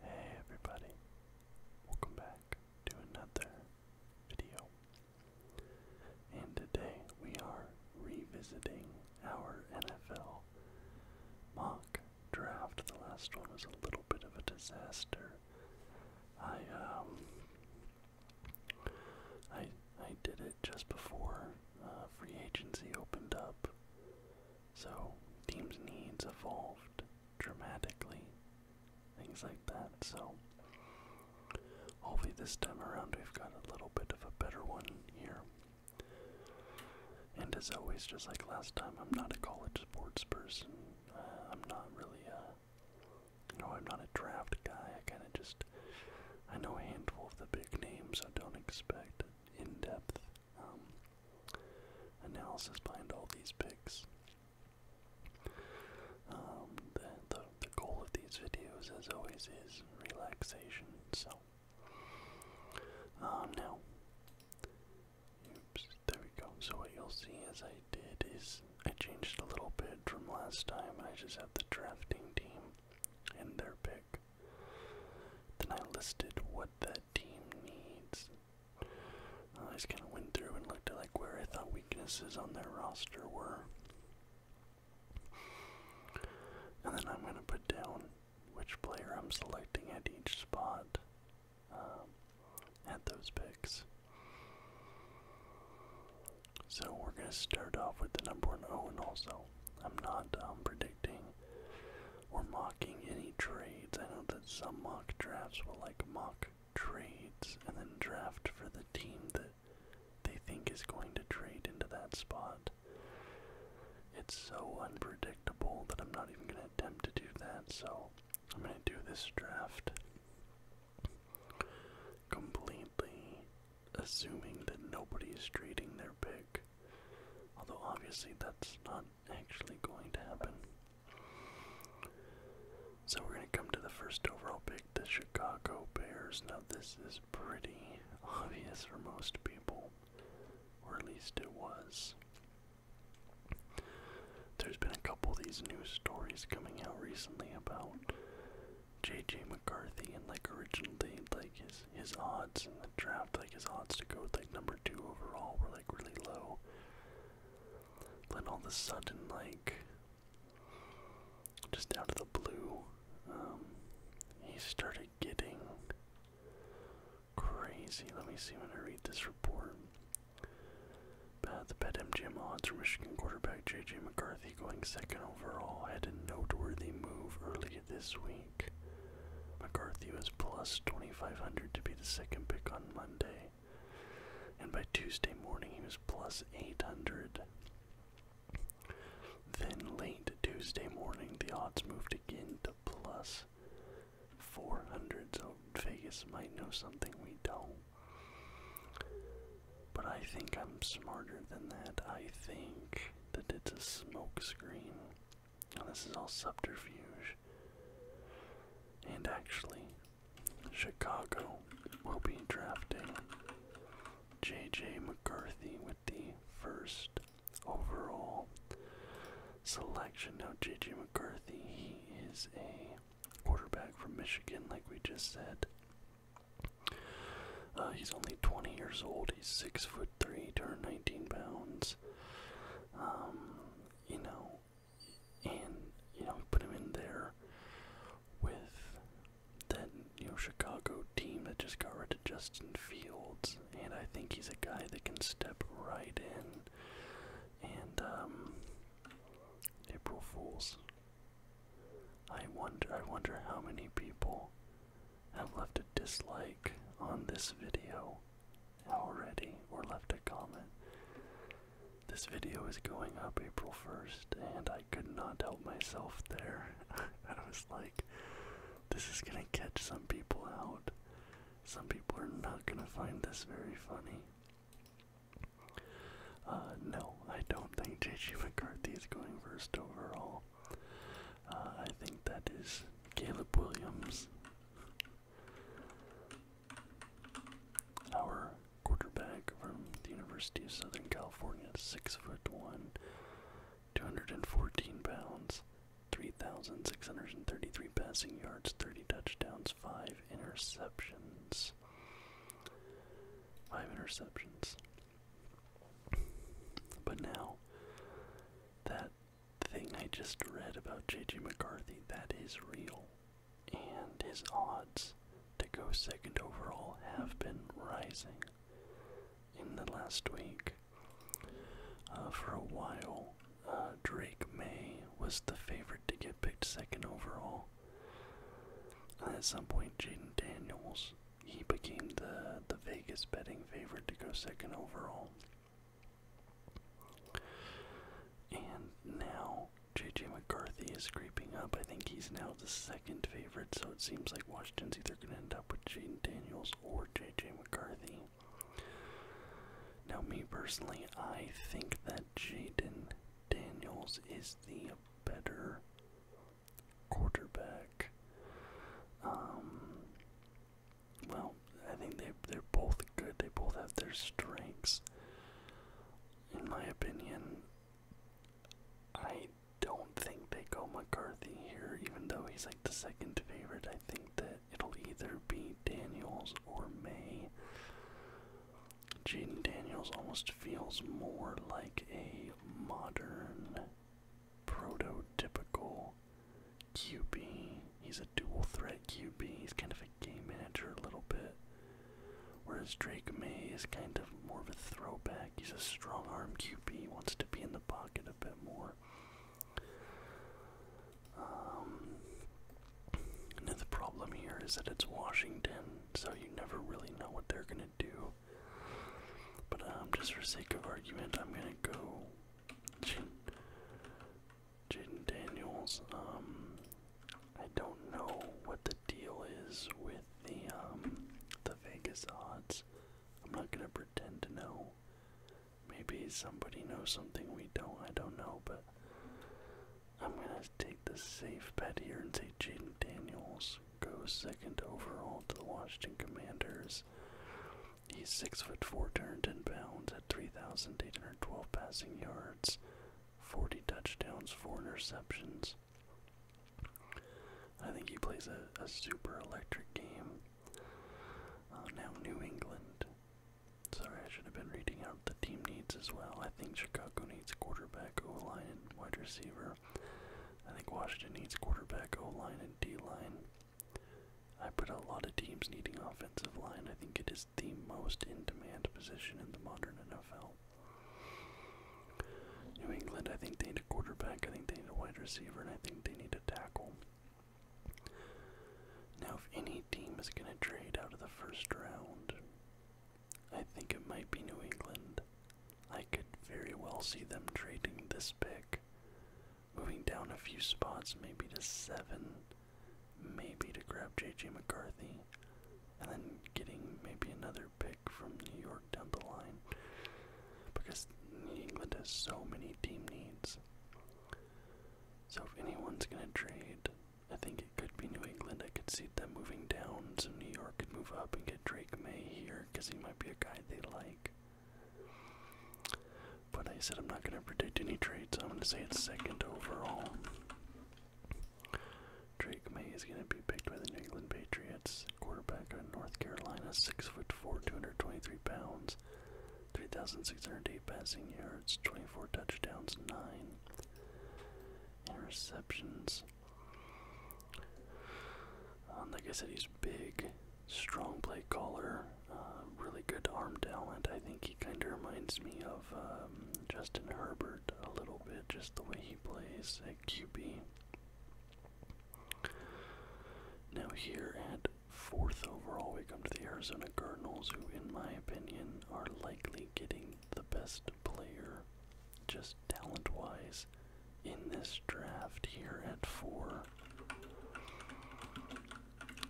Hey everybody, welcome back to another video. And today we are revisiting our NFL mock draft. The last one was a little bit of a disaster. I um I I did it just before uh, free agency opened up. So teams' needs evolved dramatically, things like that. So hopefully this time around we've got a little bit of a better one here. And as always, just like last time, I'm not a college sports person. Uh, I'm not really a, you know, I'm not a draft guy. I kind of just, I know a handful of the big names. I don't expect in depth um, analysis behind all these picks. Um, the, the, goal of these videos, as always, is relaxation. So, um, now, oops, there we go. So what you'll see as I did is I changed a little bit from last time. I just have the drafting team and their pick. Then I listed what that team needs. I just kind of went through and looked at like where I thought weaknesses on their roster were. And then I'm going to put down which player I'm selecting at each spot um, at those picks. So we're going to start off with the number one. Oh, also, I'm not um, predicting or mocking any trades. I know that some mock drafts will like mock trades and then draft for the team that they think is going to trade into that spot. It's so unpredictable that I'm not even going to attempt to do that, so I'm going to do this draft completely assuming that nobody is trading their pick. Although obviously that's not actually going to happen. So we're going to come to the first overall pick, the Chicago Bears. Now, this is pretty obvious for most people, or at least it was. There's been a couple of these news stories coming out recently about J.J. McCarthy and, like, originally, like, his, his odds in the draft like his odds to go like number two overall were like really low. then all of a sudden, like just out of the blue, um, he started getting crazy. Let me see when I read this report. Uh, the bet MGM odds for Michigan quarterback J.J. McCarthy going second overall had a noteworthy move early this week. McCarthy was plus 2,500 to be the second pick on Monday. And by Tuesday morning, he was plus 800. Then late Tuesday morning, the odds moved again to plus 400. So Vegas might know something we don't. But I think I'm smarter than that. I think that it's a smokescreen. This is all subterfuge. And actually, Chicago will be drafting J.J. McCarthy with the first overall selection. Now, J.J. McCarthy, he is a quarterback from Michigan, like we just said. Uh, he's only 20 years old. He's six foot. 3 turned 19 pounds. Um, you know, and, you know, put him in there with that, you know, Chicago team that just got rid of Justin Fields. And I think he's a guy that can step right in. And, um, April Fools. I wonder, I wonder how many people have left a dislike on this video already or left a comment. This video is going up April 1st, and I could not help myself there. And I was like, this is gonna catch some people out. Some people are not gonna find this very funny. Uh, no, I don't think J.G. McCarthy is going first overall. Uh, I think that is Caleb Williams, our quarterback from the University of Southern California, six foot one, 214 pounds, 3,633 passing yards, 30 touchdowns, five interceptions. Five interceptions. But now that the thing I just read about J.J. McCarthy, that is real. And his odds to go second overall have been rising in the last week. Uh, for a while, uh, Drake May was the favorite to get picked second overall. Uh, at some point, Jaden Daniels he became the the Vegas betting favorite to go second overall. And now JJ McCarthy is creeping up. I think he's now the second favorite, so it seems like Washington's either going to end up with Jaden Daniels or JJ McCarthy. Now, me personally, I think that Jaden Daniels is the better quarterback. Um, well, I think they they're both good. They both have their strengths. In my opinion, I don't think they go McCarthy here, even though he's like the second favorite. I think that it'll either be Daniels or May. Jaden Daniels almost feels more like a modern, prototypical QB. He's a dual threat QB. He's kind of a game manager a little bit. Whereas Drake May is kind of more of a throwback. He's a strong arm QB, wants to be in the pocket a bit more. Um, another problem here is that it's Washington, so you never really know what they're going to do. But um, just for sake of argument, I'm going to go Jaden Daniels. Um, I don't know what the deal is with the um the Vegas odds. I'm not gonna pretend to know. Maybe somebody knows something we don't. I don't know, but I'm gonna take the safe bet here and say Jaden Daniels goes second overall to the Washington Commanders. He's six foot four, turned ten pounds at three thousand eight hundred twelve passing yards, forty touchdowns, four interceptions. I think he plays a, a super electric game. Uh, now New England. Sorry, I should have been reading out the team needs as well. I think Chicago needs quarterback, O line, wide receiver. I think Washington needs quarterback, O line, and D line. I put a lot of teams needing offensive line. I think it is the most in demand position in the modern NFL. New England, I think they need a quarterback, I think they need a wide receiver, and I think they need a tackle. Now, if any team is going to trade out of the first round, I think it might be New England. I could very well see them trading this pick moving down a few spots, maybe to seven, maybe to grab J.J. McCarthy, and then getting maybe another pick from New York down the line, because New England has so many team needs. So if anyone's gonna trade, I think it could be New England. I could see them moving down, so New York could move up and get Drake May here, because he might be a guy they like. But I said I'm not going to predict any trades. I'm going to say it's second overall. Drake May is going to be picked by the New England Patriots. Quarterback on North Carolina, six foot four, 223 pounds, 3,608 passing yards, 24 touchdowns, nine interceptions. Um, like I said, he's big strong play caller, uh, really good arm talent. I think he kind of reminds me of um, Justin Herbert a little bit, just the way he plays at QB. Now, here at fourth overall, we come to the Arizona Cardinals, who, in my opinion, are likely getting the best player, just talent wise, in this draft here at four.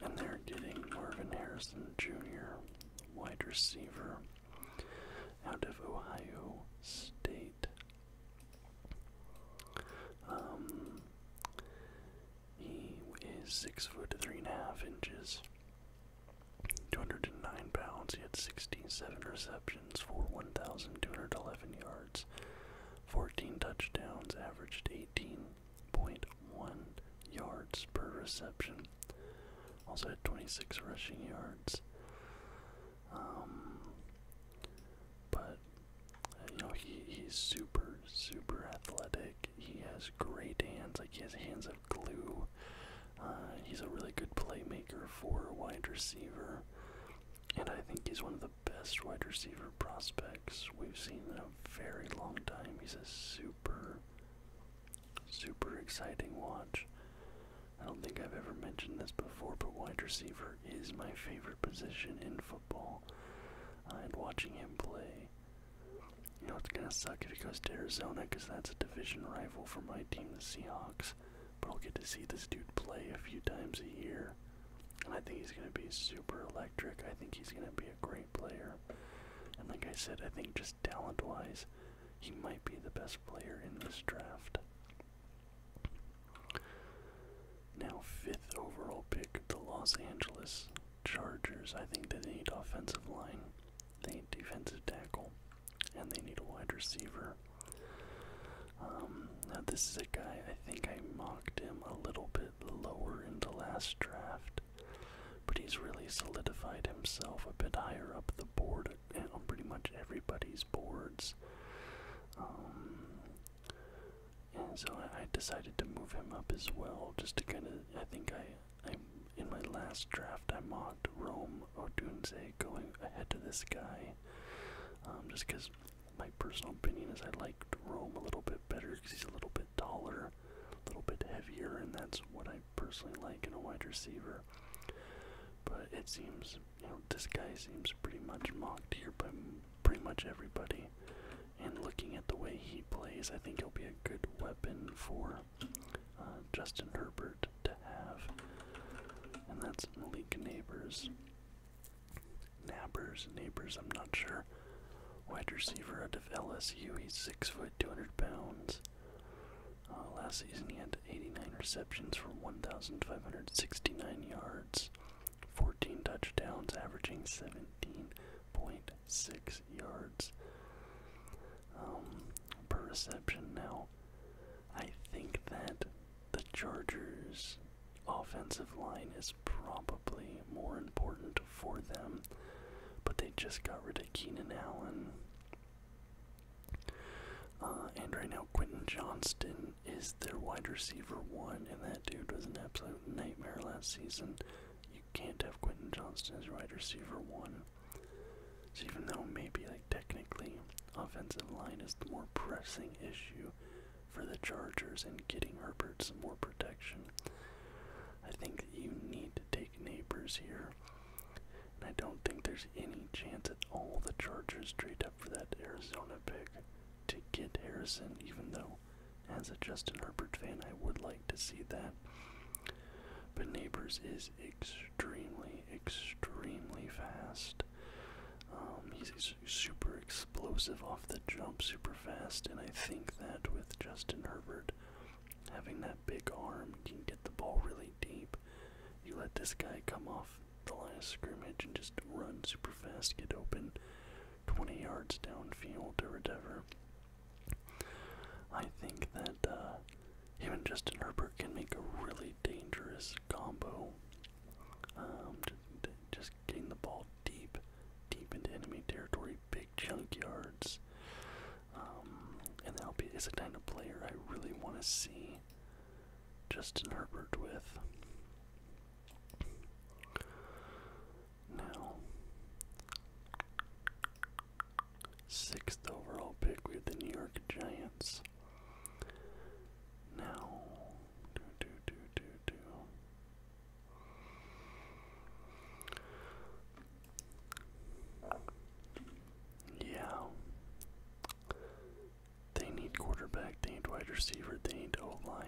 And they're getting Marvin Harrison Jr., wide receiver, out of Ohio State. Um, he is six foot three and a half inches, 209 pounds. He had sixteen seven receptions for 1,211 yards, 14 touchdowns, averaged 18 yards per reception. Also had 26 rushing yards. Um, but uh, you know he he's super super athletic. He has great hands. Like he has hands of glue. Uh, he's a really good playmaker for a wide receiver, and I think he's one of the best wide receiver prospects we've seen in a very long time. He's a super, super exciting watch. I don't think I've ever mentioned this before, but wide receiver is my favorite position in football. I'm watching him play, you know, it's gonna suck if he goes to Arizona because that's a division rival for my team, the Seahawks. But I'll get to see this dude play a few times a year. And I think he's going to be super electric. I think he's going to be a great player. And like I said, I think just talent wise, he might be the best player in this draft. Now, fifth overall pick, the Los Angeles Chargers. I think they need offensive line, they need defensive tackle, and they need a wide receiver. Um, now, this is a guy I think I mocked him a little bit lower in the last draft, but he's really solidified himself a bit higher up the board and on pretty much everybody's boards. Um, and so I, decided to move him up as well, just to kind of. I think I, I in my last draft I mocked Rome Odunze going ahead to this guy, um, just because my personal opinion is I liked Rome a little bit better because he's a little bit taller, a little bit heavier, and that's what I personally like in a wide receiver. But it seems, you know, this guy seems pretty much mocked here by pretty much everybody. And looking at the way he plays, I think he'll be a good weapon for uh, Justin Herbert to have. And that's Malik Neighbors. Nappers, neighbors, I'm not sure. Wide receiver out of LSU, he's six foot, 200 pounds. Uh, last season he had 89 receptions for 1,569 yards, 14 touchdowns, averaging 17.6 yards um, per reception. Now, I think that the Chargers offensive line is probably more important for them, but they just got rid of Keenan Allen. Uh, and right now, Quentin Johnston is their wide receiver one, and that dude was an absolute nightmare last season. You can't have Quentin Johnston as wide receiver one. So even though maybe like technically offensive line is the more pressing issue, for the Chargers and getting Herbert some more protection. I think you need to take neighbors here. And I don't think there's any chance at all the Chargers trade up for that Arizona pick to get Harrison, even though as a Justin Herbert fan I would like to see that. But neighbors is extremely, extremely fast. Um, he's super explosive off the jump, super fast, and I think that with Justin Herbert having that big arm, you can get the ball really deep. You let this guy come off the last scrimmage and just run super fast, get open 20 yards downfield or whatever. I think that even uh, Justin Herbert can make a really dangerous combo. Um, just, just getting the ball deep deep into enemy territory, big junkyards. Um, and that'll be is a kind of player I really want to see Justin Herbert with. Now, sixth overall pick with the New York Giants. Now, do do do do do. Yeah. They need quarterback, they need wide receiver, they need O line.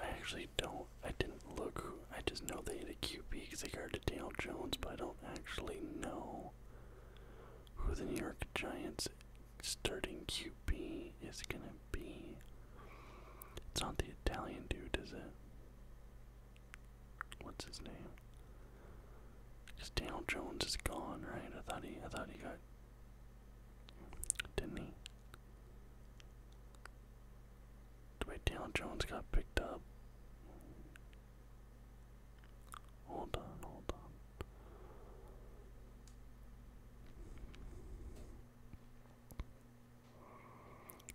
I actually don't, I didn't look, I just know they need a QB because they guarded Daniel Jones, but I don't actually know who the New York Giants starting QB is going to B. It's not the Italian dude, is it? What's his name? Because Daniel Jones is gone, right? I thought he, I thought he got, didn't he? Wait, Daniel Jones got picked up. Hold on, hold on.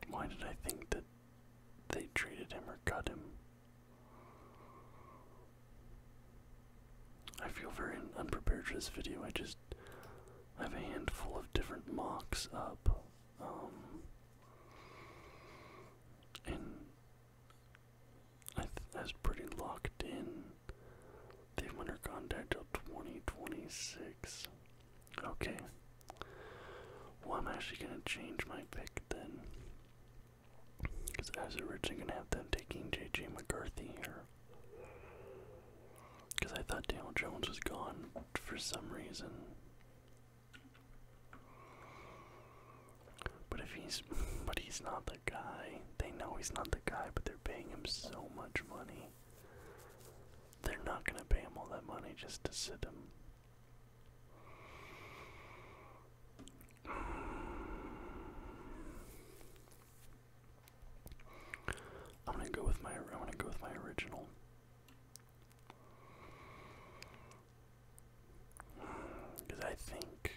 Why did I think that they traded him or cut him? I feel very unprepared for this video. I just I have a handful of different mocks up. Um, and I th pretty locked in they have under contract till 2026. Okay. Well, I'm actually going to change my pick then. Because I was originally going to have them taking J.J. McCarthy here. Because I thought Daniel Jones was gone for some reason. But if he's, but he's not the guy. They know he's not the guy, but they're paying him so much money. They're not going to pay him all that money just to sit him. I'm gonna go with my. I'm gonna go with my original. Because I think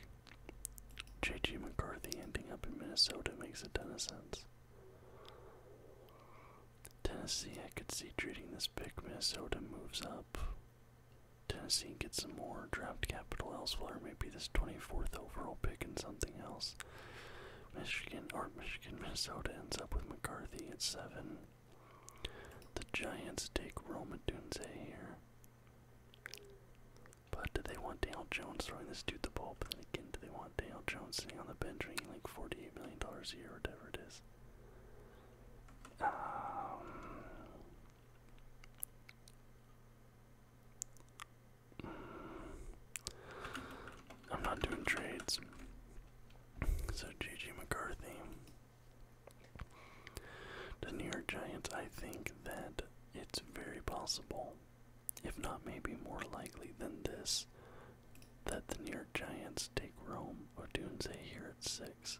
J.G. McCarthy ending up in Minnesota makes a ton of sense. Tennessee, I could see treating this pick. Minnesota moves up. Tennessee gets some more draft capital elsewhere. Maybe this 24th overall pick and something else. Michigan or Michigan, Minnesota ends up with McCarthy at seven. The Giants take Roma Dunze here. But do they want Dale Jones throwing this dude the ball? But then again, do they want? want Dale Jones sitting on the bench making like $48 million a year, whatever it is. Um, I'm not doing trades. So JJ McCarthy. The New York Giants, I think that it's very possible if not maybe more likely than this, that the New York Giants take Rome or Odunze here at 6,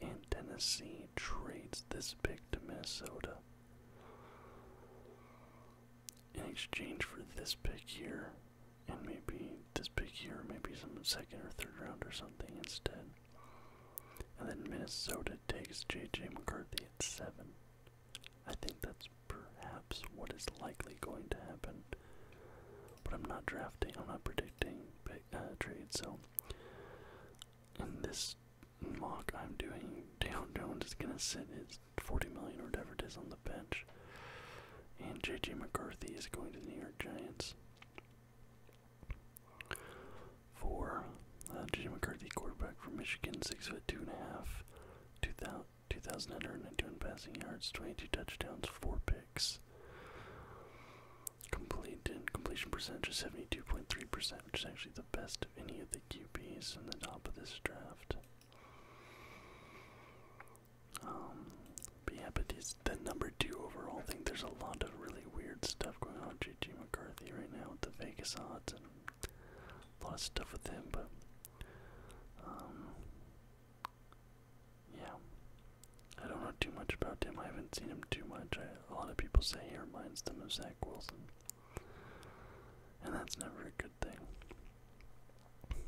and Tennessee trades this pick to Minnesota. In exchange for this pick here, and maybe this pick here, maybe some second or third round or something instead. And then Minnesota takes J.J. McCarthy at 7. I think that's perhaps what is likely going to happen. But I'm not drafting, I'm not predicting uh, trades, so in this mock I'm doing, Dale Jones is going to sit his 40 million or whatever it is on the bench, and J.J. McCarthy is going to the New York Giants. For J.J. Uh, McCarthy, quarterback from Michigan, six foot two and a half, 2,991 passing yards, 22 touchdowns, 4 picks. and completion percentage is 72.3%, which is actually the best of any of the QBs in the top of this draft. Um, yeah, but he's the number two overall. I think there's a lot of really weird stuff going on with JJ McCarthy right now with the Vegas odds and a lot of stuff with him, but um, yeah, I don't know too much about him. I haven't seen him too much. A lot of people say he reminds them of Zach Wilson, and that's never a good thing.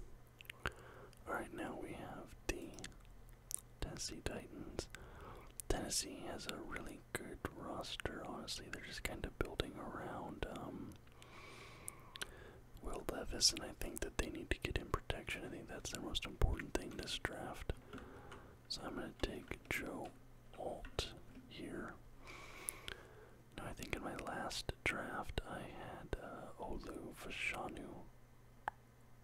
Alright, now we have the Tennessee Titans. Tennessee has a really good roster, honestly. They're just kind of building around um, Will Levis, and I think that they need to get in protection. I think that's the most important thing this draft. So I'm going to take Joe Alt here. Now I think in my last draft I had uh, Olu Fashanu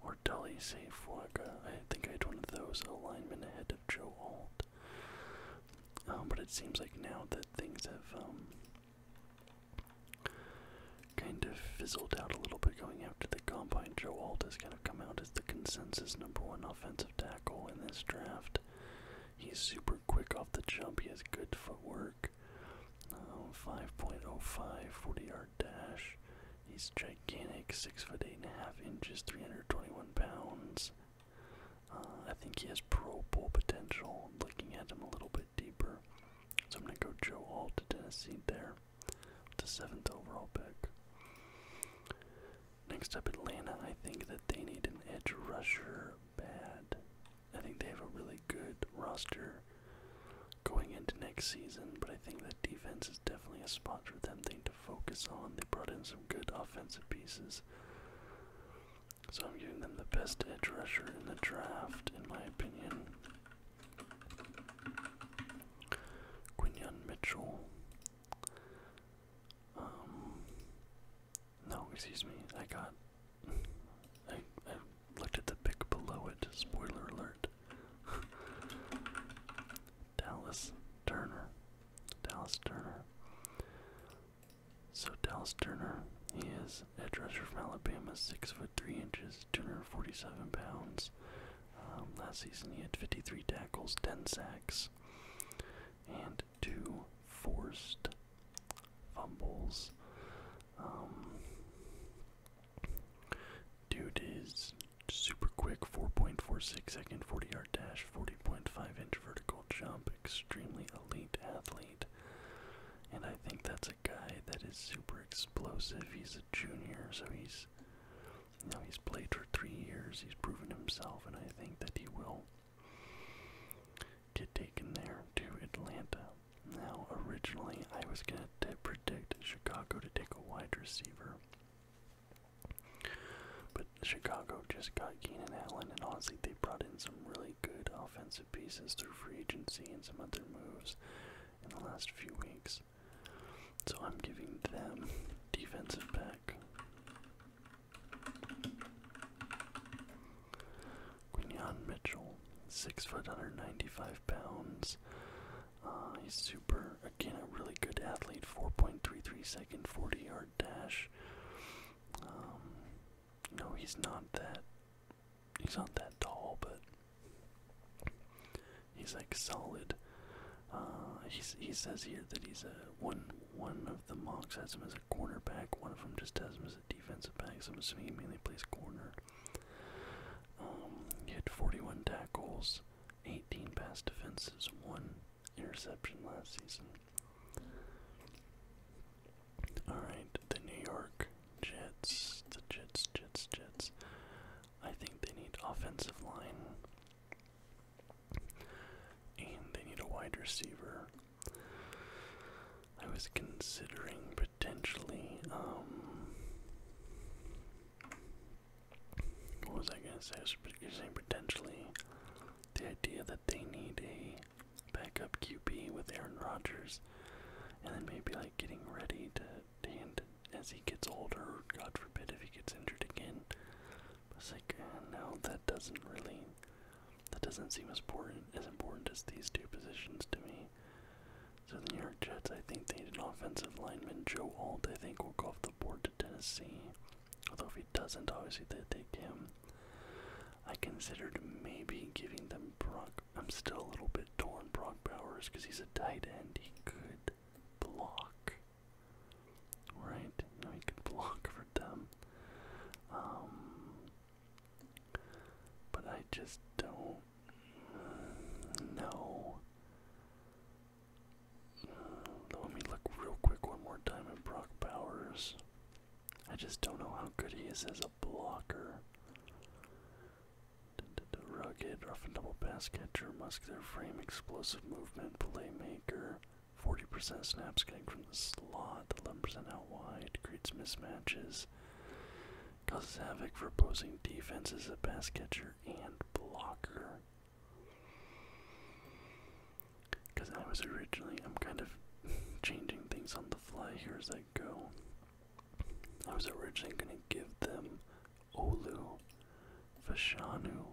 or Dully Sefuaga. I think I had one of those alignment ahead of Joe Alt. Oh, but it seems like now that things have um, kind of fizzled out a little bit going after the combine. Joe Alt has kind of come out as the consensus number one offensive tackle in this draft. He's super quick off the jump. He has good footwork. Um, uh, 5.05 40 yard dash. He's gigantic, six foot eight and a half inches, 321 pounds. Uh, I think he has Pro Bowl potential. Looking at him a little bit deeper, so I'm gonna go Joe Hall to Tennessee there, the seventh overall pick. Next up, Atlanta. I think that they need an edge rusher bad. I think they have a really good roster going into next season, but I think that defense is definitely a spot for them thing to focus on. They brought in some good offensive pieces. So I'm giving them the best edge rusher in the draft, in my opinion. Quinion Mitchell. Um, no, excuse me. I got. I, I looked at the pick below it. Spoiler alert. Dallas Turner. Dallas Turner. So Dallas Turner, he is a rusher from Alabama, six foot three inches, 247 pounds. Um, last season he had 53 tackles, 10 sacks, and two forced fumbles. Um, dude is super quick, 4.46 second 40 yard dash, 4 40.5 inch vertical jump, extremely elite athlete. And I think that's a guy that is super explosive. He's a junior, so he's now he's played for three years. He's proven himself, and I think that he will get taken there to Atlanta. Now, originally, I was going to predict Chicago to take a wide receiver, but Chicago just got Keenan Allen, and honestly, they brought in some really good offensive pieces through free agency and some other moves in the last few weeks. So I'm giving them defensive back. Quinion Mitchell, six foot, 195 pounds. Uh, he's super, again, a really good athlete. 4.33 second, 40 yard dash. Um, no, he's not that. He's not that tall, but he's like solid. Uh, he says here that he's a one. One of the monks has him as a cornerback. One of them just has him as a defensive back. So I'm assuming he mainly plays corner. Um, he had 41 tackles, 18 pass defenses, one interception last season. Alright, the New York Jets, the Jets, Jets, Jets. I think they need offensive line. And they need a wide receiver. I was considering potentially, um, what was I gonna say? I was saying potentially the idea that they need a backup QB with Aaron Rodgers, and then maybe like getting ready to hand as he gets older. God forbid if he gets injured again. It's like uh, no, that doesn't really. That doesn't seem as important as important as these two positions to me. So the New York Jets, I think they need an offensive lineman. Joe Alt, I think, will go off the board to Tennessee. Although if he doesn't, obviously they take him. I considered maybe giving them Brock. I'm still a little bit torn Brock Bowers because he's a tight end. He could block. Right? he could block for them. Um, but I just don't know. let me look real quick one more time at Brock Bowers. I just don't know how good he is as a blocker. rugged, rough and double pass catcher, muscular frame, explosive movement, playmaker. 40% snaps getting from the slot, 11% out wide, creates mismatches, causes havoc for opposing defenses a pass catcher and blocker. Because I was originally, I'm kind of changing things on the fly here as I go. I was originally going to give them Olu, Fashanu,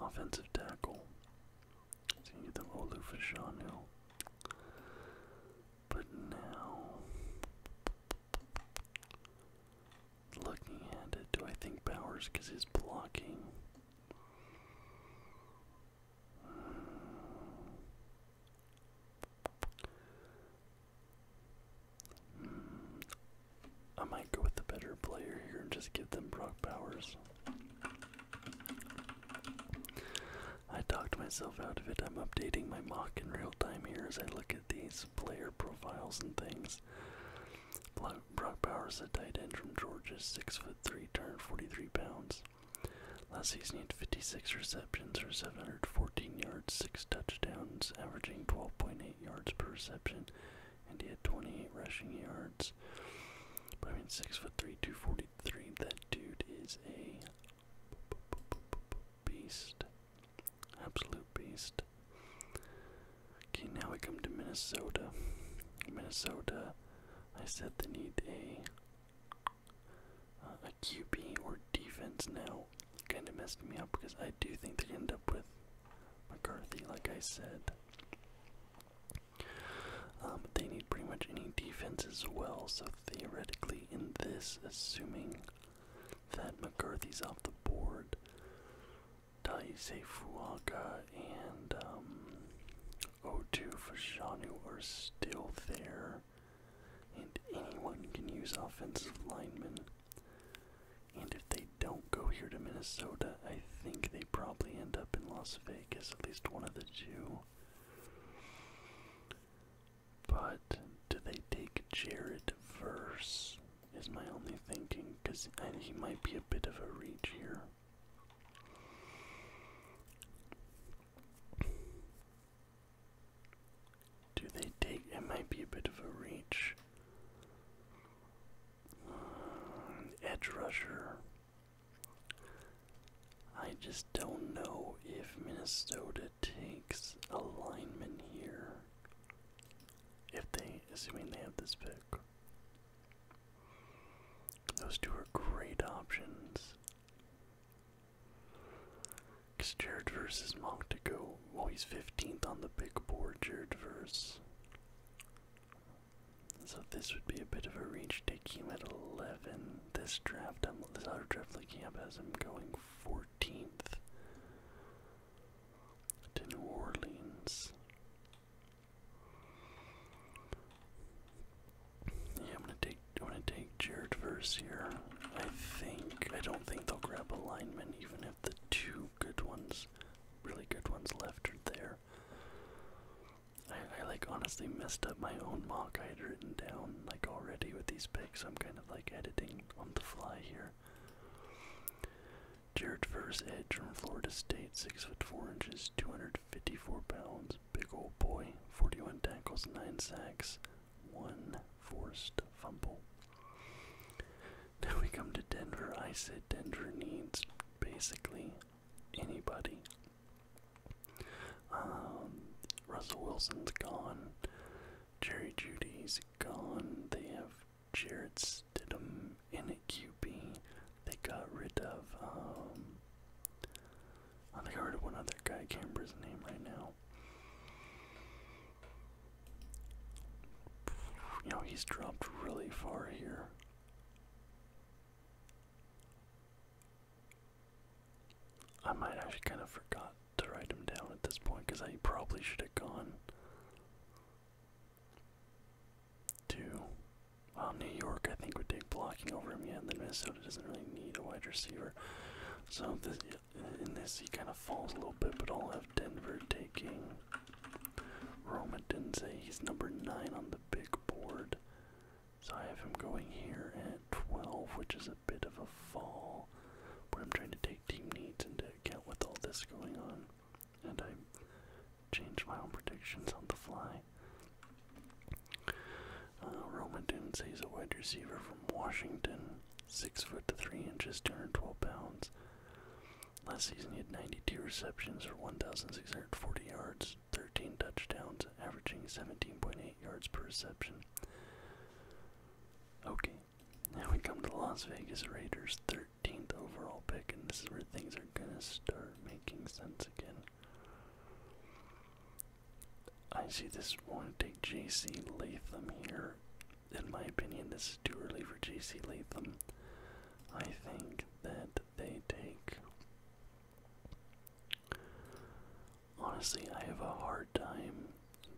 offensive tackle. Gonna give them Olu, Fashanu. But now, looking at it, do I think Powers? because he's blocking? I might go with the better player here and just give them Brock Powers. I talked myself out of it. I'm updating my mock in real time here as I look at these player profiles and things. Brock Bowers, the tight end from Georgia's six foot three, turned 43 pounds. Last season, he had 56 receptions for 714 yards, six touchdowns, averaging 12.8 yards per reception, and he had 28 rushing yards. I mean, six foot three, 243. That dude is a beast, absolute beast. Okay, now we come to Minnesota. Minnesota I said they need a uh, a QB or defense now. Kind of messed me up because I do think they end up with McCarthy, like I said. Um, but they need pretty much any defense as well. So theoretically, in this, assuming that McCarthy's off the board, Taisei Fuaga and um, O2 for Shanu are still there, and anyone can use offensive linemen. And if they don't go here to Minnesota, I think they probably end up in Las Vegas, at least one of the two. But do they take Jared Verse? Is my only thinking, because he might be a bit of a reach here. Do they take it? Might be a bit of a reach. Uh, edge rusher. I just don't know if Minnesota takes a lineman here. If they, assuming they have this pick. Those two are great options. Because Jared versus is to go. Well, he's 15th on the big board, Jared Verse. So this would be a bit of a reach. Take him at 11. This draft, I'm, um, this other draft looking as I'm going 14th to New Orleans. Yeah, I'm gonna take I'm gonna take Jared Verse here. I think I don't think they'll grab a lineman even if the two good ones really good ones left are there. I, like honestly messed up my own mock I had written down like already with these picks. I'm kind of like editing on the fly here. Jared Verse Edge from Florida State, six foot four inches, 250 54 pounds, big old boy, 41 tackles, 9 sacks, 1 forced fumble. Now we come to Denver. I said Denver needs basically anybody. Um, Russell Wilson's gone. Jerry Judy's gone. They have Jared Stidham um, in QP, they got rid of, um, I think I heard of one other guy, I name right now. You know, he's dropped really far here. I might actually kind of forgot to write him down at this point because I probably should have gone to um, New York, I think would take blocking over him. yet. then Minnesota doesn't really need a wide receiver. So this, in this, he kind of falls a little bit, but I'll have Denver taking Roma Denze. He's number nine on the big board. So I have him going here at 12, which is a bit of a fall. But I'm trying to take team needs into account with all this going on and I change my own predictions on the fly. Uh, didn't say he's a wide receiver from Washington, six foot three inches, 212 pounds. Last season, he had 92 receptions for 1,640 yards, 13 touchdowns, averaging 17.8 yards per reception. Okay, now we come to the Las Vegas Raiders, 13th overall pick, and this is where things are gonna start making sense again. I see this want to take J.C. Latham here. In my opinion, this is too early for J.C. Latham. I think that they take. Honestly, I have a hard time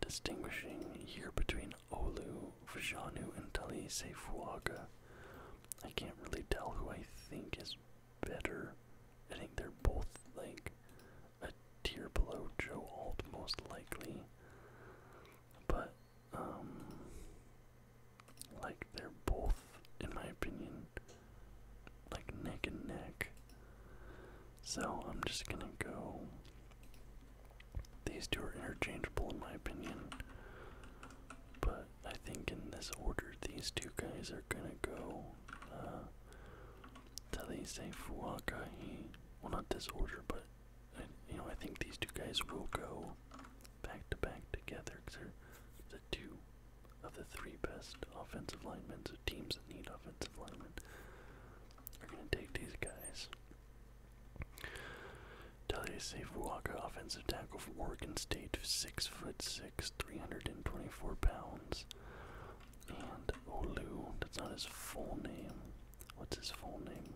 distinguishing here between Olu, Vajanu, and Tali Seifuaga. I can't really tell who I think is better. I think they're both like a tier below Joe Alt, most likely. But, um, like they're both, in my opinion, like neck and neck. So I'm just gonna go. These two are interchangeable, in my opinion. But I think in this order, these two guys are gonna go uh, to these Fuakai. Well, not this order, but uh, you know, I think these two guys will go back to back together because they're the two of the three best offensive linemen. So teams that need offensive linemen are gonna take these guys. Talia Safe Walker, offensive tackle from Oregon State, six foot six, 324 pounds. And Olu, that's not his full name. What's his full name?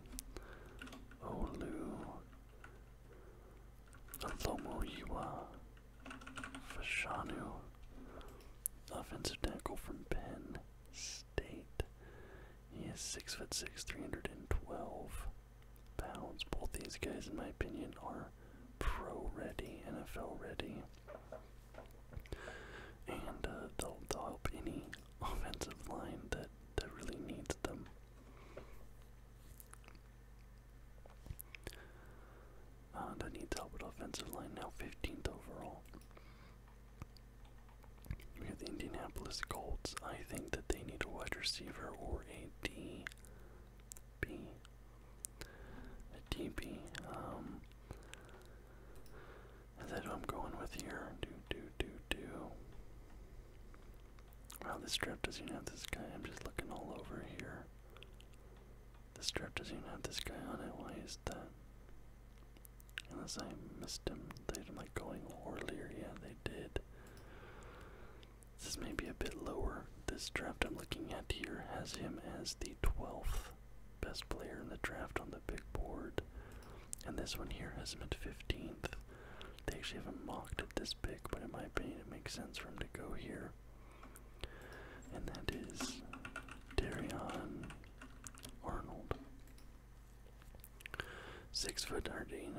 Olu Alomoyiwa Fashanu, offensive tackle from Penn State. He is six foot six, 312 pounds. Both these guys, in my opinion, are pro ready, NFL ready. And uh, they'll, they'll help any offensive line that, that really needs them. Uh, that needs help with offensive line now, 15th overall. We have the Indianapolis Colts. I think that they need a wide receiver or a D B. A DB. Um, is that who I'm going with here? Do, do, do, do. Wow, this strip doesn't have this guy. I'm just looking all over here. This strip doesn't have this guy on it. Why is that? Unless I missed him. They didn't like going earlier. Yeah, they did. This is maybe a bit lower. This draft I'm looking at here has him as the 12th best player in the draft on the big board. And this one here has him at 15th. They actually haven't mocked at this pick, but in my opinion, it makes sense for him to go here. And that is Darion Arnold. Six foot 189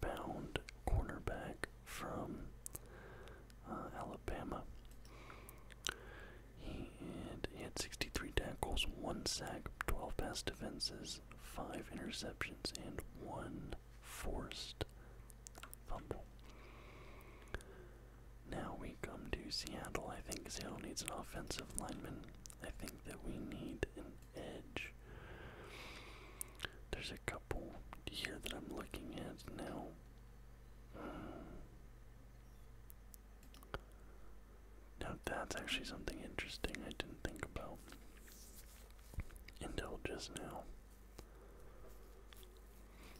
pound cornerback from uh, Alabama. He had, 63 tackles, one sack, 12 pass defenses, five interceptions, and one forced fumble. Now we come to Seattle. I think Seattle needs an offensive lineman. I think that we need an edge. There's a couple here that I'm looking at now. Uh, now that's actually something interesting I didn't think about until just now.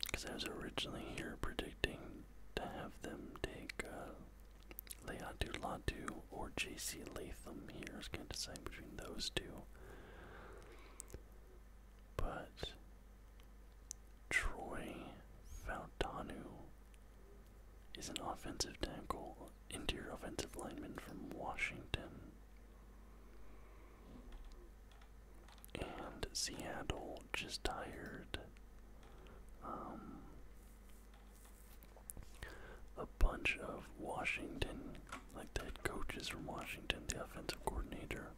Because I was originally here predicting to have them take uh, Leatu Latu or JC Latham here is I was going to decide between those two. But Troy Fautanu is an offensive tackle, interior offensive lineman from Washington. And Seattle just tired um, a bunch of Washington like the coaches from Washington, the offensive coordinator.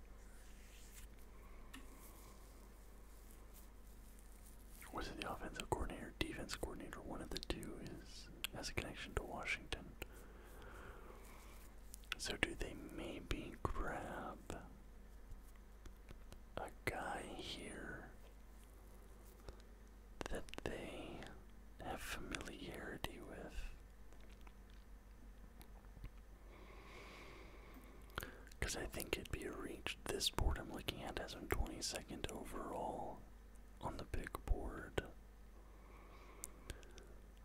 Was it the offensive coordinator, defense coordinator? One of the two is has a connection to Washington. So do they maybe grab a guy here that they have familiarity with? Because I think it'd be a reach. This board I'm looking at has him 22nd overall on the big board.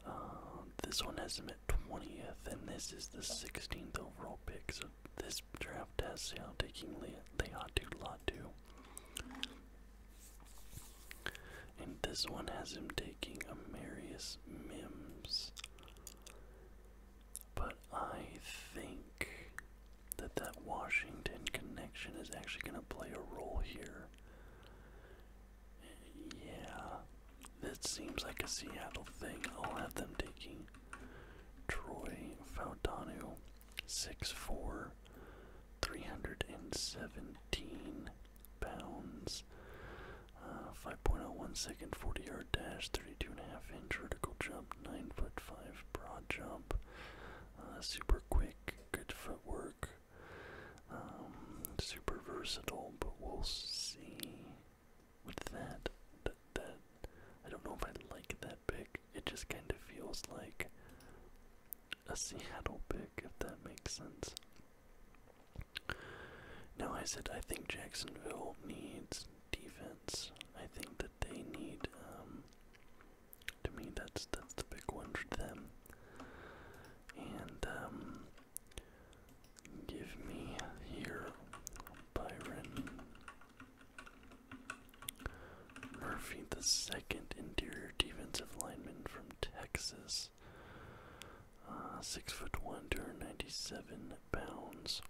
Uh, this one has him at 20th, and this is the 16th overall pick. So this draft has Seattle taking Le Latu Latu. And this one has him taking Amarius Mims. But I think that that Washington connection is actually going to play a role here. Yeah, this seems like a Seattle thing. I'll have them taking Troy six four. 317 pounds. Uh, 5.01 second 40 yard dash, Thirty two and a half inch vertical jump, 9 foot 5 broad jump. Uh, super quick, good footwork. Um, super versatile, but we'll see with that, that. That I don't know if I like that pick. It just kind of feels like a Seattle pick, if that makes sense. Now, I said I think Jacksonville needs defense. I think that they need, um, to me, that's, that's the big one for them. And, um, give me here Byron Murphy, the second interior defensive lineman from Texas. Uh, six foot one, two hundred ninety-seven pounds.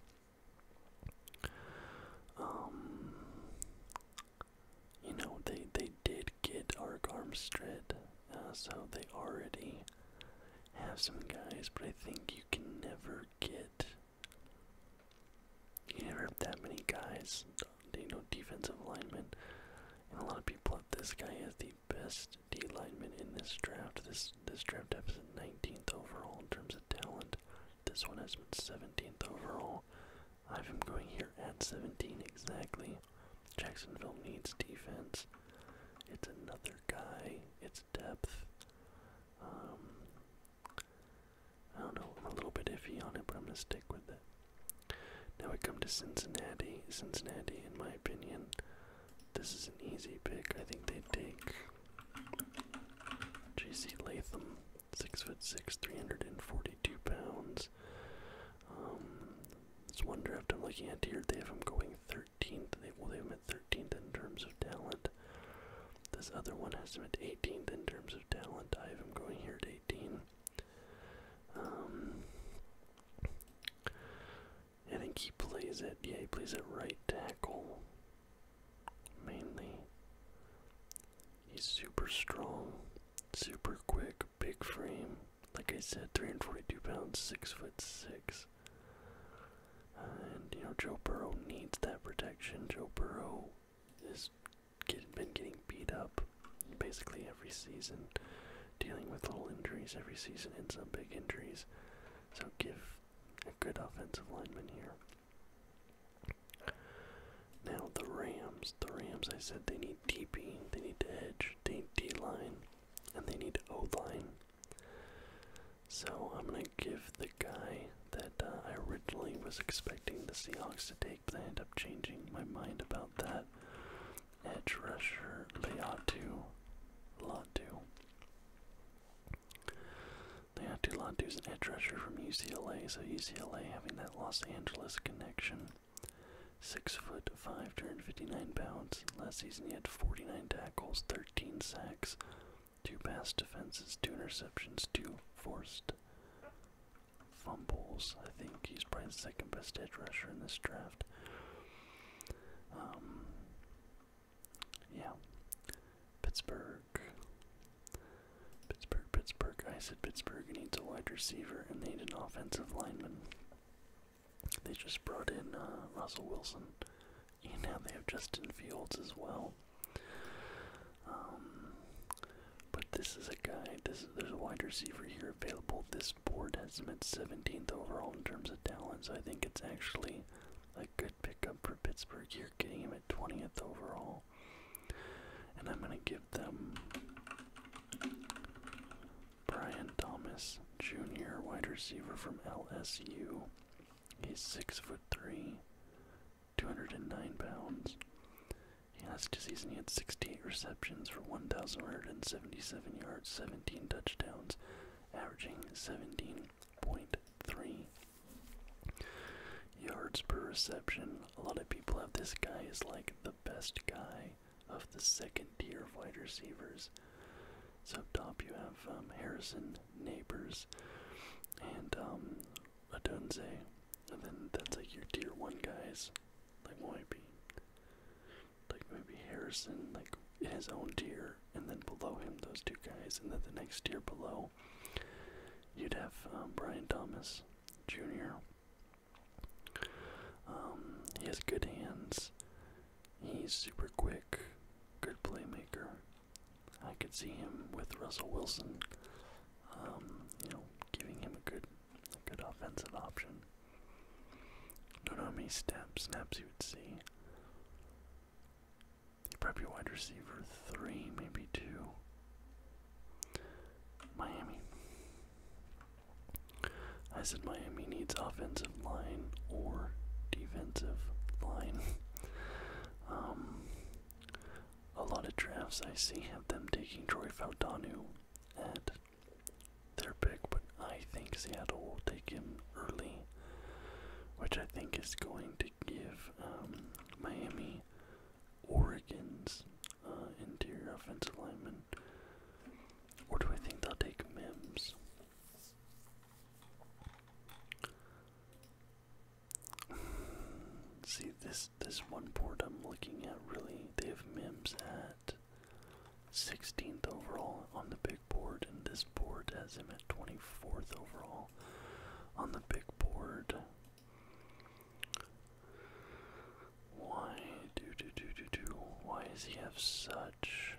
Um, you know they they did get Ark Armstead, uh, so they already have some guys, but I think you can never get. You never have that many guys, you know, defensive linemen a lot of people have this guy as the best D lineman in this draft. This this draft has him 19th overall in terms of talent. This one has been 17th overall. I have him going here at 17 exactly. Jacksonville needs defense. It's another guy. It's depth. Um, I don't know. I'm a little bit iffy on it, but I'm gonna stick with it. Now we come to Cincinnati. Cincinnati, in my opinion, this is an easy pick. I think they take J.C. Latham, six foot six, three hundred and forty-two pounds. Um, this one draft I'm looking at here. They have him going thirteenth. They well, they have him at thirteenth in terms of talent. This other one has him at eighteenth in terms of talent. I have him going here at eighteen. I um, think he plays it. Yeah, he plays it right tackle. Mainly. He's super strong, super quick, big frame. Like I said, 342 pounds, six foot six. and you know Joe Burrow needs that protection. Joe Burrow is been getting beat up basically every season, dealing with little injuries every season and some big injuries. So give a good offensive lineman here. Now the Rams, the Rams. I said they need DB, they need edge, they need D line, and they need O line. So I'm gonna give the guy that uh, I originally was expecting the Seahawks to take but I end up changing my mind about that. Edge rusher Leatu Latu. Leatu Latu is an edge rusher from UCLA, so UCLA having that Los Angeles connection. Six foot five, 259 pounds. Last season he had 49 tackles, 13 sacks, two pass defenses, two interceptions, two forced fumbles. I think he's probably the second best edge rusher in this draft. Um, yeah, Pittsburgh. Pittsburgh, Pittsburgh. I said Pittsburgh needs a wide receiver and they need an offensive lineman. They just brought in uh, Russell Wilson, now they have Justin Fields as well. Um, but this is a guy. This there's a wide receiver here available. This board has him at 17th overall in terms of talent. So I think it's actually a good pickup for Pittsburgh here, getting him at 20th overall. And I'm gonna give them Brian Thomas Jr., wide receiver from LSU. He's six foot three, 209 pounds. He last season he had 68 receptions for 1,177 yards, 17 touchdowns, averaging 17.3 yards per reception. A lot of people have this guy as like the best guy of the second tier of wide receivers. So top you have um, Harrison, Neighbors, and um, And then that's like your tier one guys, like YP. Like maybe Harrison, like in his own tier, and then below him those two guys, and then the next tier below, you'd have um, Brian Thomas Jr. Um, he has good hands. He's super quick, good playmaker. I could see him with Russell Wilson, um, you know, giving him a good Good offensive option. Don't know how many snaps, snaps would see. probably wide receiver three, maybe two. Miami. I said Miami needs offensive line or defensive line. um, a lot of drafts I see have them taking Troy Faudanu at their pick, but I think Seattle will take him early, which I think is going to give um, Miami Oregon's uh, interior offensive lineman. Or do I think they'll take Mims? See, this this one board I'm looking at really they have Mims at 16th overall on the big board, and this board has him at 24th overall on the big board. Why do do do do do? Why does he have such?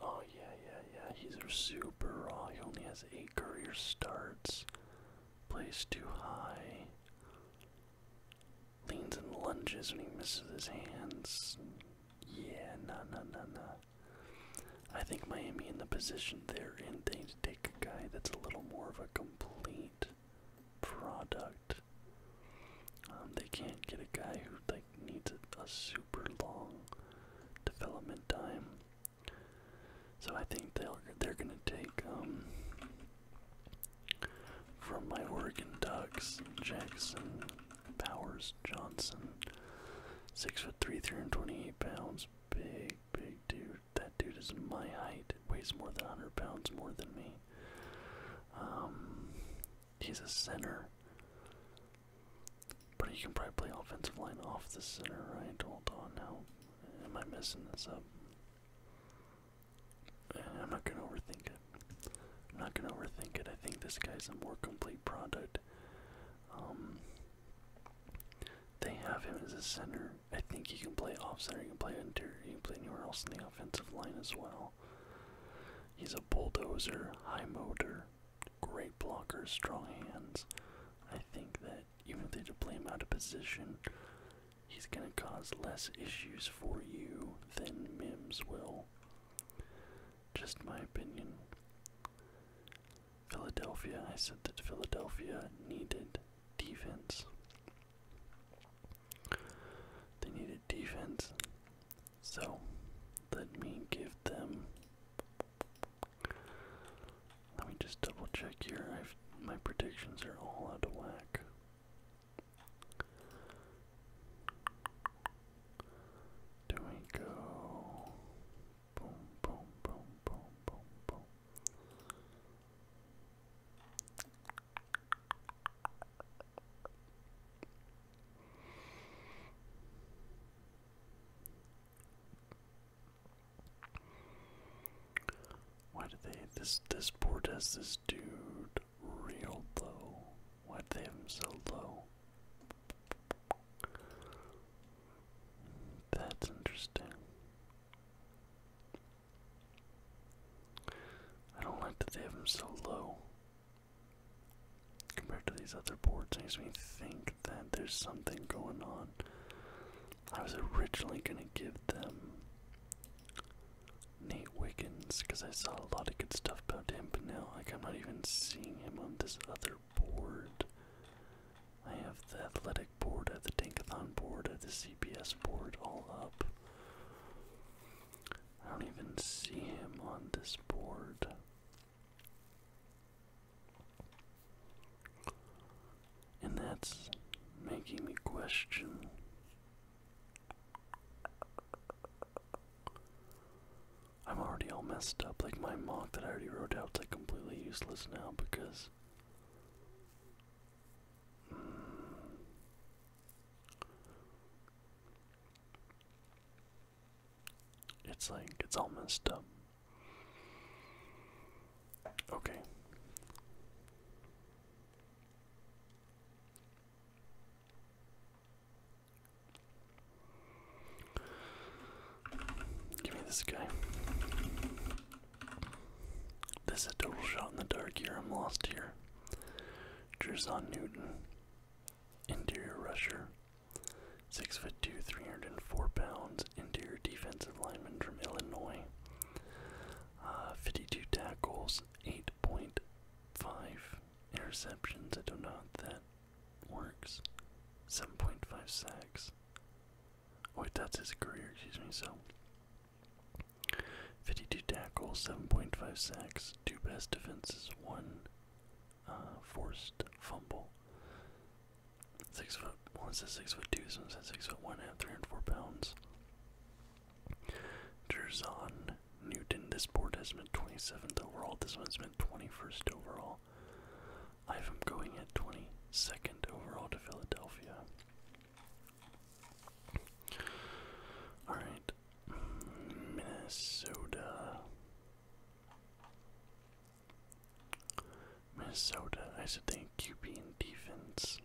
Oh yeah yeah yeah, he's super raw. He only has eight career starts. Plays too high leans and lunges when he misses his hands. Yeah, no, no, no, no. I think Miami in the position they're in, they take a guy that's a little more of a complete product. Um, they can't get a guy who like needs a, super long development time. So I think they're they're gonna take um, from my Oregon Ducks, Jackson Powers Johnson. Six foot three, 328 pounds. Big, big dude. That dude is my height. Weighs more than 100 pounds more than me. Um, he's a center. But he can probably play offensive line off the center, I Hold on now. Am I messing this up? I'm not gonna overthink it. not gonna overthink it. I think this guy's a more complete product. Um, they have him as a center. I think he can play off center, he can play interior, You can play anywhere else in the offensive line as well. He's a bulldozer, high motor, great blocker, strong hands. I think that even if they deploy him out of position, he's going to cause less issues for you than Mims will. Just my opinion. Philadelphia, I said that Philadelphia needed defense. They needed defense. So, let me give them. Let me just double check here. I've, my predictions are all out of whack. Do we go boom, boom, boom, boom, boom, boom? Why do they this this board has this dude real low? why they have him so low? That's interesting. I don't like that they have them so low compared to these other boards. Makes me think that there's something going on I was originally gonna give them Nate Wiggins because I saw a lot of good stuff about him, but now like I'm not even seeing him on this other board. I have the athletic board, I have the Tankathon board, I have the CPS board all up. I don't even see him on this board. And that's making me question I'm already all messed up. Like my mock that I already wrote out's like completely useless now because it's like it's all messed up. Okay. Give me this guy. This is a total shot in the dark here. I'm lost here. Jerzon Newton, interior rusher, six foot two, three hundred and four pounds, interior defensive lineman from Illinois. Uh, 52 tackles, 8.5 interceptions. I don't that works. 7.5 sacks. Oh, wait, that's his career, excuse me. So, 52 tackles, 7.5 sacks, two best defenses, one uh, forced fumble. Six foot. One says six foot two. This says six foot one. Have three hundred four pounds. Jerzon Newton. This board has been 27th overall. This one's been 21st overall. I am going at 22nd overall to Philadelphia. Alright. Minnesota. Minnesota. I should they you being defense.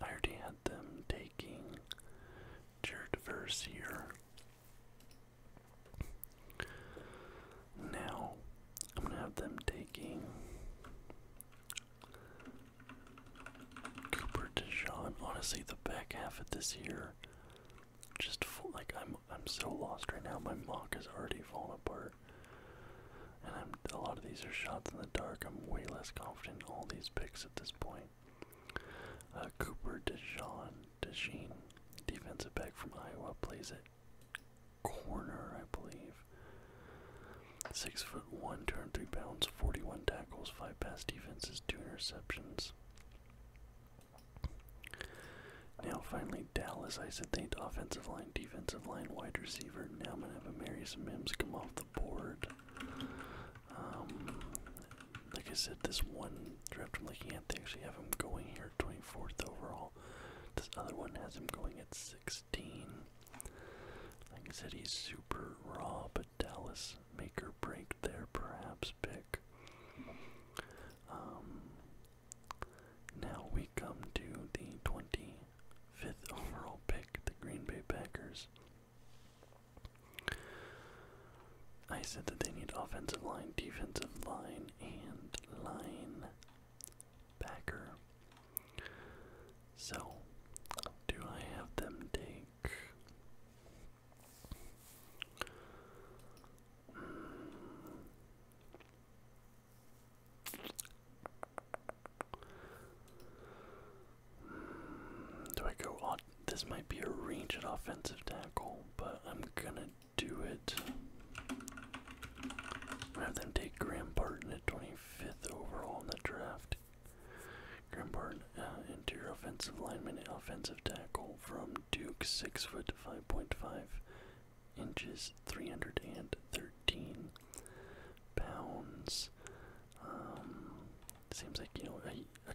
I already them taking Jared Versier. Now I'm gonna have them taking Cooper DeJean. Honestly, the back half of this year, just like I'm, I'm so lost right now. My mock has already fallen apart and I'm, a lot of these are shots in the dark. I'm way less confident in all these picks at this point. Uh, Cooper Deshawn DeJean, defensive back from Iowa, plays at corner, I believe. Six foot one, three pounds, forty-one tackles, five pass defenses, two interceptions. Now finally Dallas, I said they offensive line, defensive line, wide receiver. Now I'm gonna have Amarius Mims come off the board. Um, like I said, this one draft I'm looking at, they actually have him going here 24th overall. This other one has him going at 16. Like I said, he's super raw, but Dallas make or break there, perhaps pick. Um, now we come to the 20 fifth overall pick, the Green Bay Packers. I said that they need offensive line, defensive line, and line backer. So, do I have them take? Hmm. Do I go This might be a range ranged offensive tackle, but I'm gonna do it. I have them take Graham Barton at 25th overall in the draft. Graham Barton, uh, interior offensive lineman, offensive tackle from Duke, six foot 5.5 inches, 313 pounds. Um, seems like you know a,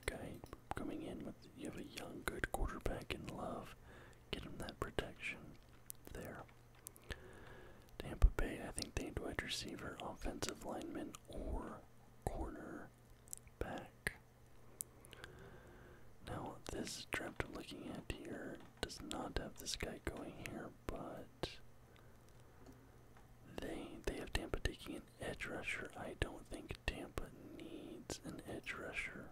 guy coming in with you have a young good quarterback in love. Get him that protection there. Tampa Bay, I think they need wide receiver, offensive lineman, or corner back. Now this draft I'm looking at here does not have this guy going here, but they they have Tampa taking an edge rusher. I don't think Tampa needs an edge rusher.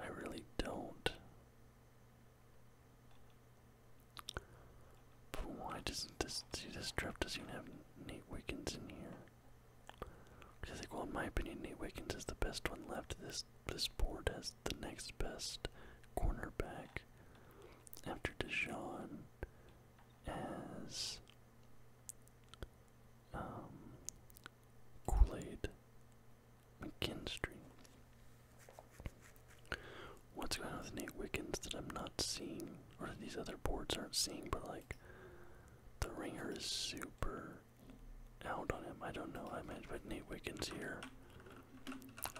I really don't. why doesn't this see draft doesn't even have Nate Wiggins in here? Because I think well in my opinion Nate Wiggins is the best one left. This this board has the next best cornerback after Deshaun is um, kool McKinstry. What's going on with Nate Wiggins that I'm not seeing, or that these other boards aren't seeing, but like the ringer is super out on him. I don't know. I might put Nate Wiggins here.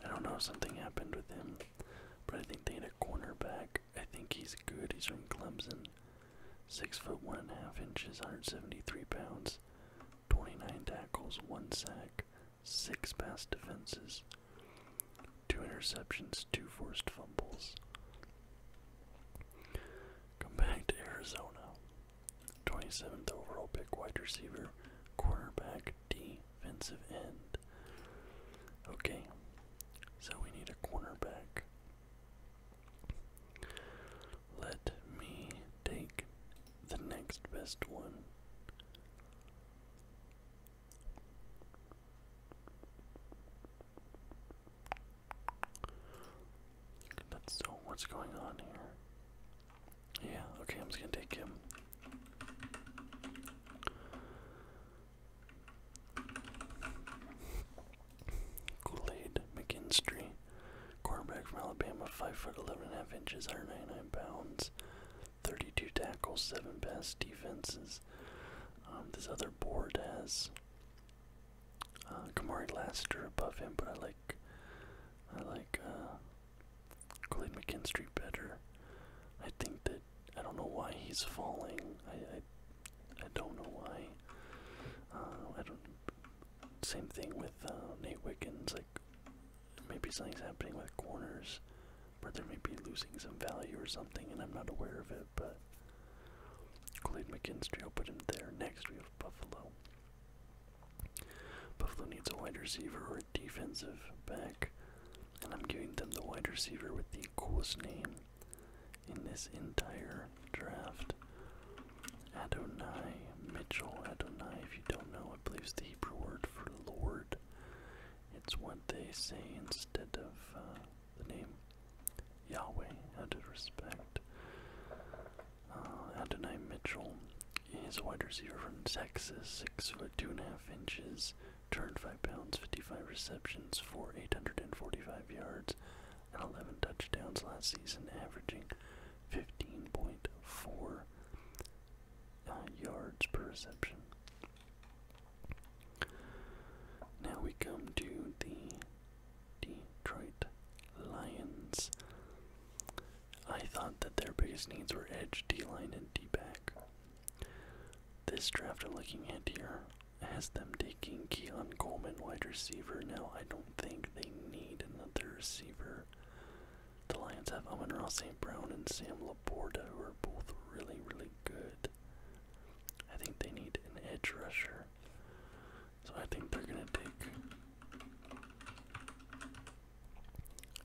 I don't know, something happened with him. But I think they had a cornerback. I think he's good. He's from Clemson. Six foot one and a half inches, 173 pounds, 29 tackles, one sack, six pass defenses, two interceptions, two forced fumbles. Come back to Arizona. 27th overall pick, wide receiver, cornerback, D defensive end. Okay, so we need a cornerback. Let me take the next best one. That's so. What's going on here? Yeah, okay, I'm just gonna take him. kool McKinstry, quarterback from Alabama, five foot eleven and a half inches, 199 pounds, 32 tackles, seven pass defenses. Um, this other board has uh, Kamari Laster above him, but I like I like uh, Clay McKinstry better. I think that I don't know why he's falling. I I, don't know why. Uh, I don't. Same thing with uh, Nate Wiggins. Like maybe something's happening with corners, where they may be losing some value or something, and I'm not aware of it. But Clay McKinstry, I'll put him there next. We have Buffalo. Buffalo needs a wide receiver or a defensive back, and I'm giving them the wide receiver with the coolest name in this entire draft. Adonai Mitchell. Adonai, if you don't know, I believe it's the Hebrew word for Lord. It's what they say instead of uh, the name Yahweh, out of respect. Uh, Adonai Mitchell He's a wide receiver from Texas, six foot two and a half inches, turned five pounds, 55 receptions for 845 yards, and 11 touchdowns last season, averaging 15.4 uh, yards per reception. Now we come to the Detroit Lions. I thought that their biggest needs were edge, D line, and D back. This draft i looking at here has them taking Keon Coleman, wide receiver. Now, I don't think they need another receiver. The Lions have Amon Ross St. Brown and Sam Laborda, who are both really, really good. I think they need an edge rusher. So I think they're going to take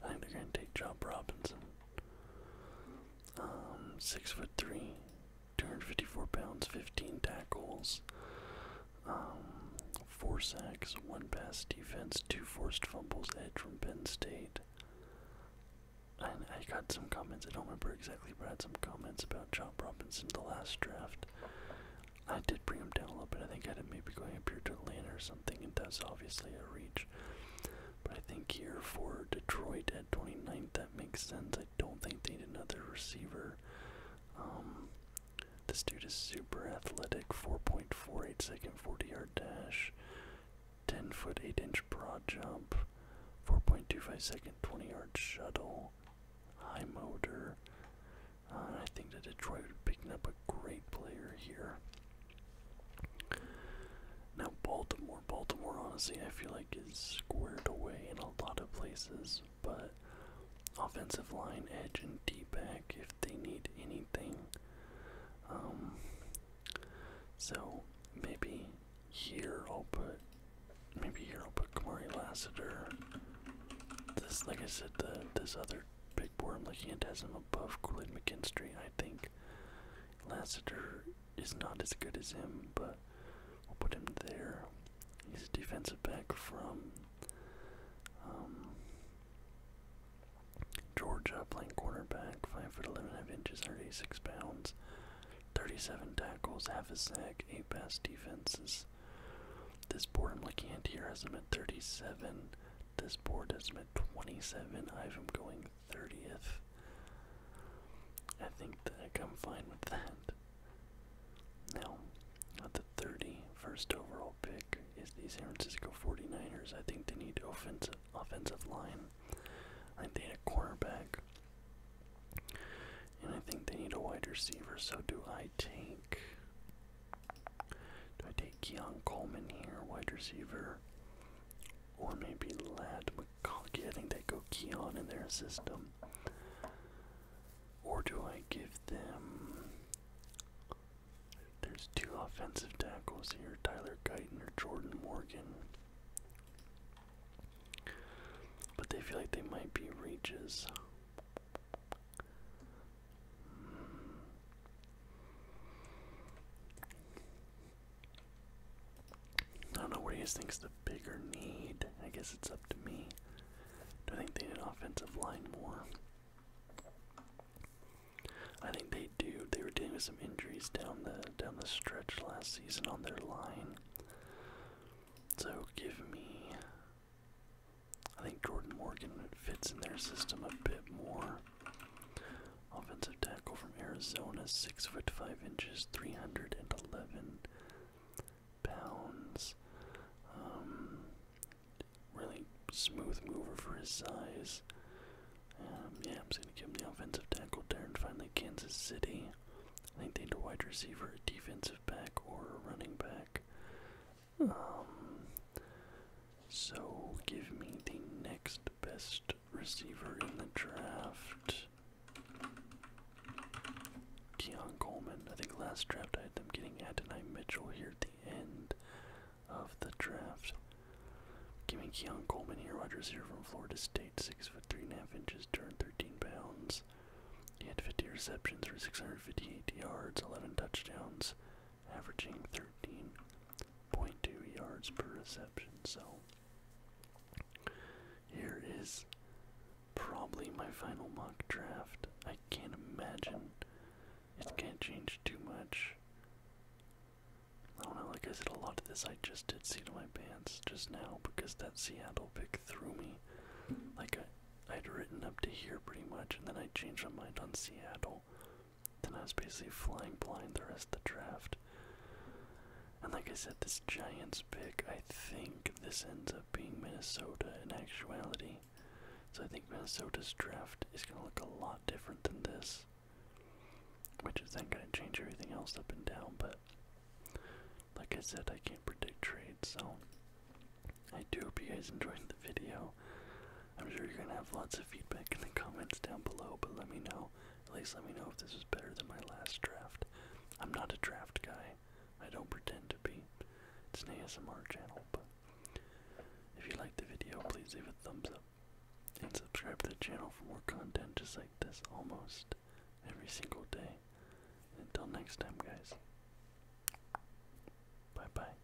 I think they're gonna take Job Robinson. Um, six foot three, 254 pounds, 15 tackles, um, four sacks, one pass defense, two forced fumbles. Edge from Penn State. I, I got some comments. I don't remember exactly, but I had some comments about Job Robinson the last draft. I did bring him down a little bit. I think I had him maybe going up here to Atlanta or something, and that's obviously a reach. But I think here for Detroit at 29th, that makes sense. I don't think they need another receiver. Um, this dude is super athletic, 4.48 second 40 yard dash, 10 foot 8 inch broad jump, 4.25 second 20 yard shuttle, high motor. Uh, I think that Detroit would be picking up a great player here. Now Baltimore, Baltimore honestly I feel like is squared away in a lot of places, but offensive line, edge, and D back if they need anything. Um so maybe here I'll put maybe here I'll put Kamari Lassiter. This like I said the this other big boring looking at as I'm above Kool-Aid McKinstry. I think Lassiter is not as good as him, but we'll put him there. He's a defensive back from um, Georgia, playing cornerback, 5'11", half inches, 36 pounds, 37 tackles, half a sack, 8 pass defenses. This boring looking at here has him at 37. This board has me 27. I'm going 30th. I think that I'm fine with that. Now, at the 31st overall pick is the San Francisco 49ers. I think they need offensive, offensive line. I they need a cornerback. And I think they need a wide receiver, so do I take do I take Keon Coleman here, wide receiver? Or maybe Lad McConkey? I think they go Keon in their system. Or do I give them. There's two offensive tackles here Tyler Guyton or Jordan Morgan. But they feel like they might be reaches. I don't know where he think's the bigger need. I guess it's up to me. Do I think they need an offensive line more? I think they do. They were dealing with some injuries down the down the stretch last season on their line. So give me I think Jordan Morgan fits in their system a bit more. Offensive tackle from Arizona, six foot five inches, three hundred and eleven pounds. Um, really smooth mover for his size. Um, yeah, I'm just gonna give him the offensive tackle there, and finally Kansas City. I think they need a wide receiver, a defensive back, or a running back. Um, so give me the next best receiver in the draft. Keon Coleman. I think last draft I had them getting Adonai Mitchell here at the end of the draft. Give me Keon Coleman here, Rogers here from Florida State, six foot three and a half inches, turned thirteen pounds. He had 50 receptions for 658 yards, 11 touchdowns, averaging 13.2 yards per reception. So here is probably my final mock draft. I can't imagine it can't change too much. I don't know, like I said, a lot of this I just did see to my pants just now because that Seattle pick threw me. Like I, I'd written up to here pretty much, and then I changed my mind on Seattle. Then I was basically flying blind the rest of the draft. And like I said, this Giants pick, I think this ends up being Minnesota in actuality. So I think Minnesota's draft is going to look a lot different than this. Which is then going to change everything else up and down, but like I said, I can't predict trades, so I do hope you guys enjoyed the video. I'm sure you're gonna have lots of feedback in the comments down below, but let me know. At least let me know if this is better than my last draft. I'm not a draft guy. I don't pretend to be. It's an ASMR channel, but if you liked the video, please leave a thumbs up and subscribe to the channel for more content just like this almost every single day. Until next time, guys. Bye bye.